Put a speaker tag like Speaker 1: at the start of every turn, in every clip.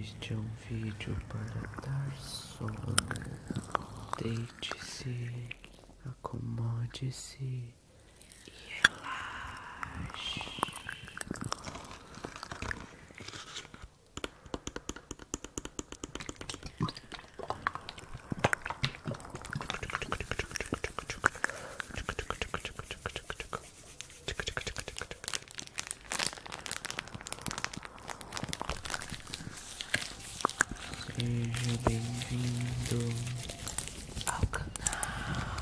Speaker 1: Este é um vídeo para dar sono. Deite-se, acomode-se e relaxe. Seja bem-vindo ao canal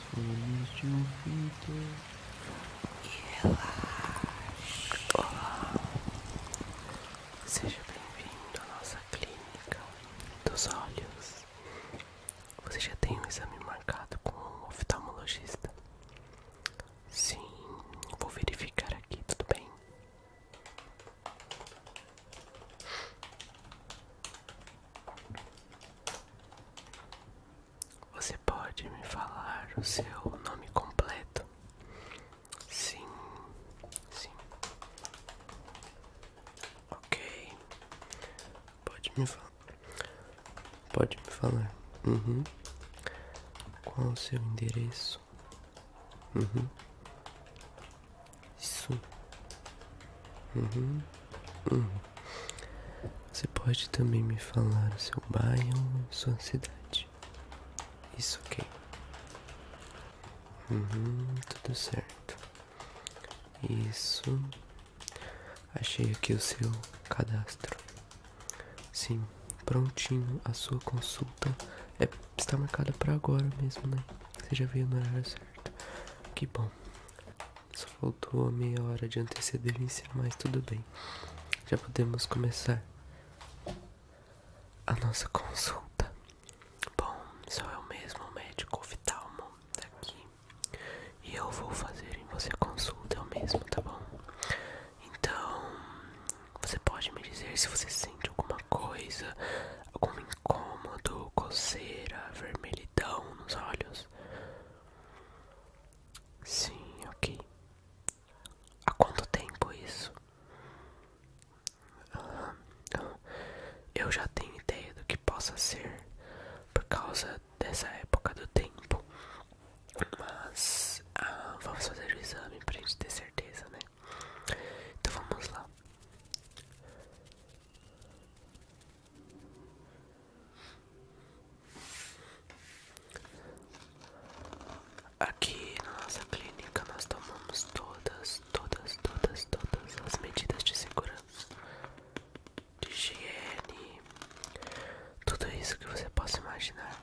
Speaker 1: folhas de um vento relaxa.
Speaker 2: seja bem-vindo à nossa clínica dos olhos. Você já tem um exame marcado com um oftalmologista? Sim, vou verificar aqui, tudo bem? Você pode me falar o seu nome completo? Sim, sim.
Speaker 1: Ok. Pode me falar. Pode me falar. Uhum. Qual o seu endereço? Uhum. Isso. Uhum. Uhum. Você pode também me falar o seu bairro, sua cidade. Isso, ok. Uhum, tudo certo. Isso. Achei aqui o seu cadastro. Sim, prontinho. A sua consulta é, está marcada para agora mesmo, né? Você já veio no horário certo. Que bom só faltou meia hora de antecedência, mas tudo bem. Já podemos começar a nossa consulta. Bom, só eu mesmo, o
Speaker 2: médico oftalmo aqui E eu vou fazer em você consulta eu mesmo, tá bom? Então, você pode me dizer se você sente alguma coisa, algum incômodo, coceira, vermelhidão escuridão nos olhos. Sim, ok. Há quanto tempo isso? eu já tenho ideia do que possa ser por causa dessa época do tempo. Mas ah, vamos fazer o exame para a gente ter certeza, né? Então vamos lá. Aqui na nossa clínica nós tomamos todas, todas, todas, todas as medidas de segurança, de higiene, tudo isso que você possa imaginar.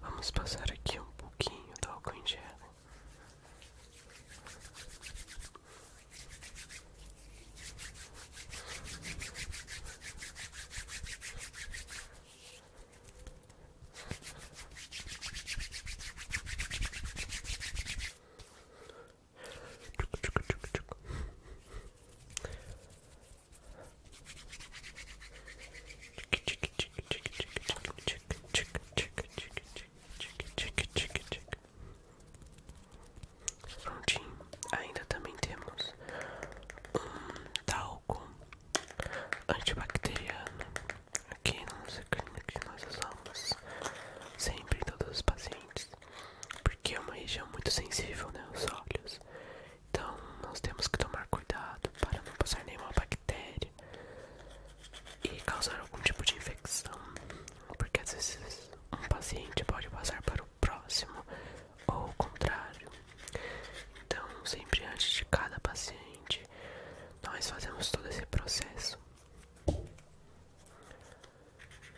Speaker 2: Vamos passar aqui um pouquinho do álcool em gel. Prontinho, ainda também temos um talco antibacteriano aqui na nossa clínica que nós usamos sempre em todos os pacientes, porque é uma região muito sensível, né? Os olhos. Então nós temos que tomar cuidado para não passar nenhuma bactéria e causar algum tipo de infecção, porque às vezes um paciente pode passar para o próximo ou o contrário. Então, sempre antes de cada paciente, nós fazemos todo esse processo.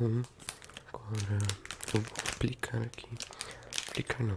Speaker 1: Bom, agora eu vou aplicar aqui. Aplicar não,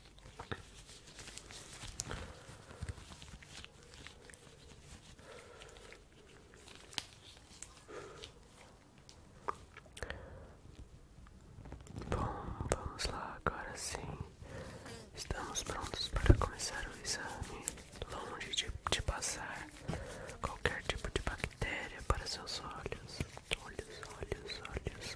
Speaker 2: Bom, vamos lá, agora sim. Estamos prontos para começar o exame. Longe de, de passar qualquer tipo de bactéria para seus olhos. Olhos, olhos, olhos.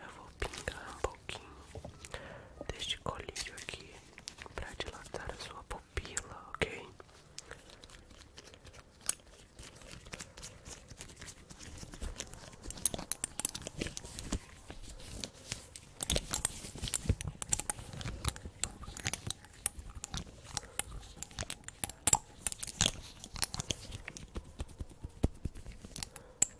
Speaker 2: Eu vou pingar um pouquinho deste colírio aqui para dilatar a sua pupila, ok?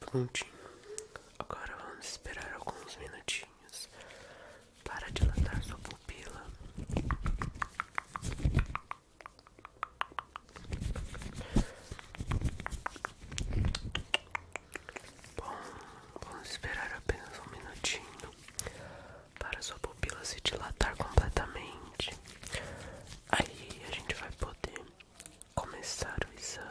Speaker 2: Prontinho. Agora vamos esperar alguns minutinhos para dilatar sua pupila. Bom, vamos esperar apenas um minutinho para sua pupila se dilatar completamente. Aí a gente vai poder começar o exame.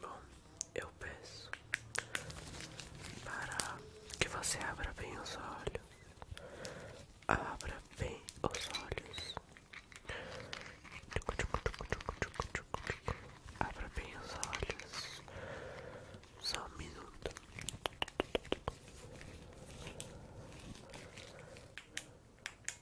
Speaker 2: Bom, eu peço para que você abra bem os olhos. Abra bem os olhos. Abra bem os olhos. Só um minuto.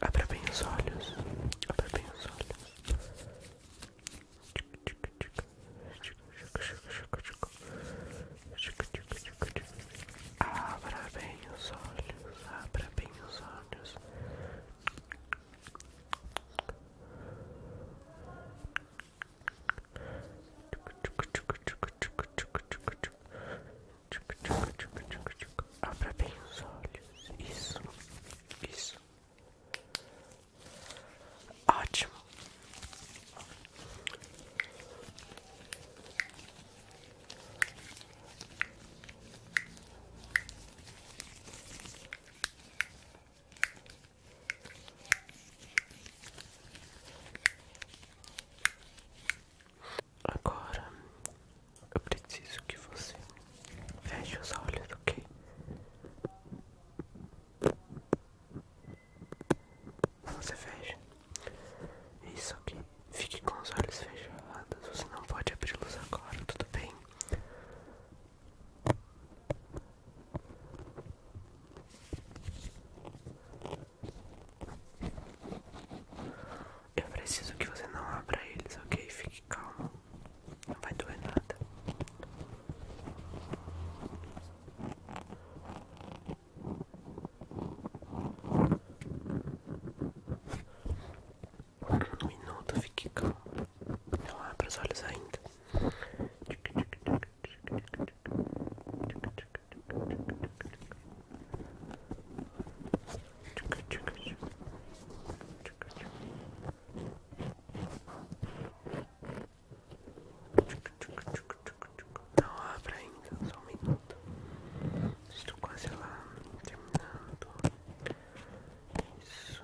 Speaker 2: Abre bem os olhos. Abra bem os olhos. Abra bem os olhos. Abra bem os olhos. Abra bem os olhos. Isso. Isso. Ótimo. Agora eu preciso que você feche os olhos, ok? Você fecha. Isso aqui. Fique com os olhos fechados. Você não pode abri-los agora, tudo bem? Eu preciso que você não abra eles, ok? Fique calmo. Não vai doer nada. Um minuto, fique calmo. Não abra os olhos ainda. Não abra ainda, só um minuto. Estou quase lá, terminando. Isso.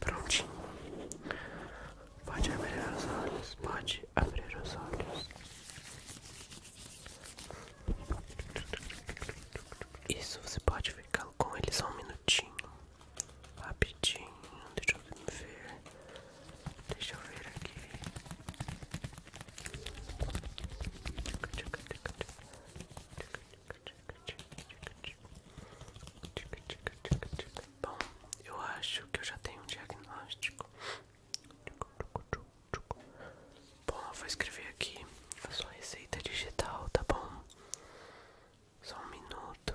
Speaker 2: Prontinho. Pode abrir os olhos. Pode abrir os olhos. Isso você pode ficar com eles só um minutinho. Rapidinho. Deixa eu ver. Deixa eu ver aqui. Bom, eu acho que eu já tenho um diagnóstico. Bom, eu vou escrever aqui a sua receita digital, tá bom? Só um minuto.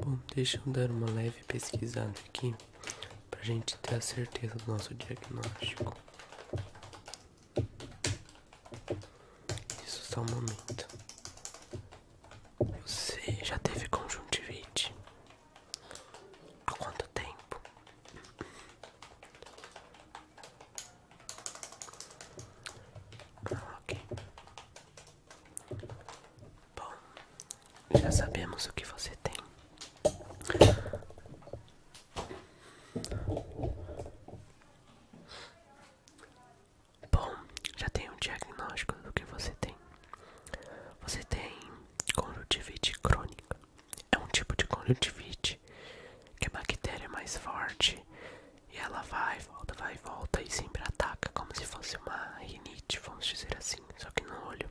Speaker 1: Bom, deixa eu dar uma leve pesquisada aqui para gente ter a certeza do nosso diagnóstico.
Speaker 2: Isso só um momento. Você já teve conjuntivite? Há quanto tempo? Ah, ok. Bom, já sabemos o que você tem. Bom, já tem um diagnóstico do que você tem. Você tem conjuntivite crônica. É um tipo de conjuntivite que a bactéria é mais forte e ela vai, volta, vai volta e sempre ataca, como se fosse uma rinite, vamos dizer assim, só que no olho.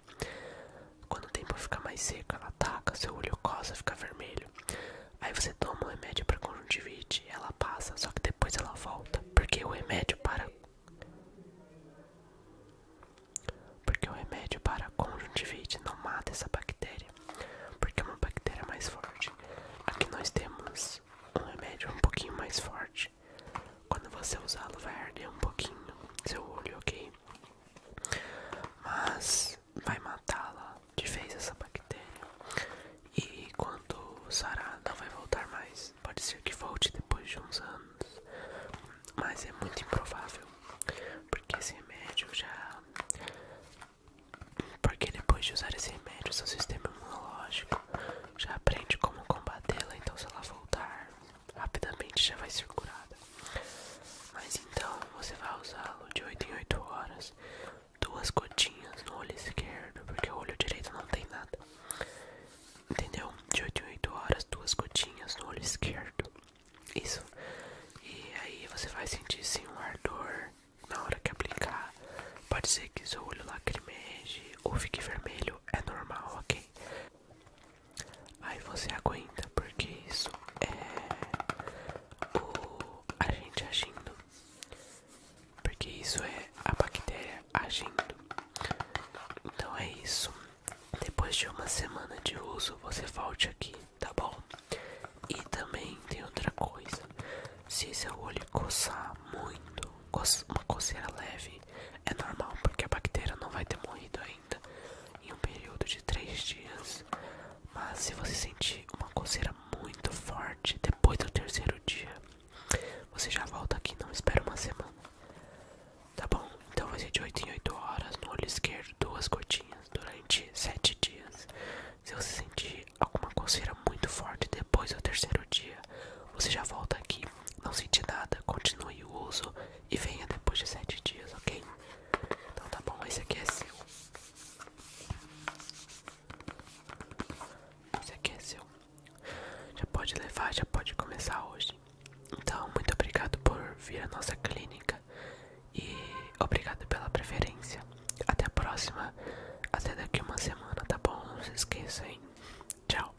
Speaker 2: Quando o tempo fica mais seco, ela ataca, seu olho coça, fica vermelho. Aí você toma o um remédio para conjuntivite, ela passa, só que depois ela volta, porque o remédio para porque o remédio para conjuntivite não mata essa bactéria, porque é uma bactéria mais forte. Aqui nós temos um remédio um pouquinho mais forte. Quando você usá-lo, vai arder um pouquinho seu olho, ok? Mas vai matá-la de vez essa bactéria. E quando sarar, não vai voltar mais. Pode ser que volte depois de uns anos. Mas é muito improvável, porque esse remédio já. Porque depois de usar esse remédio, seu sistema imunológico já aprende como combatê-la, então se ela voltar, rapidamente já vai ser curada. Mas então você vai usá-lo de 8 em 8 horas, duas gotinhas no olho esquerdo, porque o olho direito não tem nada, Entendeu? De 8 em 8 horas, duas gotinhas no olho esquerdo. Isso. E aí você vai sentir sim um ardor na hora que aplicar. Pode ser que seu olho lacrimeje ou fique vermelho, é normal, ok? Aí você aguenta, porque isso é o a gente agindo. Porque isso é a bactéria agindo. Então é isso. Depois de uma semana de uso, você volte aqui, tá bom? E também tem outra coisa: se seu olho coçar muito, uma coceira leve, é normal porque a bactéria não vai ter morrido ainda em um período de três dias. Mas se você sentir uma coceira muito forte depois do terceiro dia, você já volta aqui, não espera uma semana. Tá bom, então vai ser de 8 em 8 horas, no olho esquerdo, duas gotinhas, durante 7 dias. Se você sentir alguma coceira muito forte depois do terceiro dia, você já volta aqui, não sentir nada, continue o uso e venha depois de 7 dias, ok? Então tá bom, esse aqui é seu. Esse aqui é seu. Já pode levar, já pode começar hoje. Então, muito obrigado por vir à nossa clínica e obrigado pela preferência. Até a próxima, até daqui uma semana, tá bom? Não se esqueça, hein? Tchau.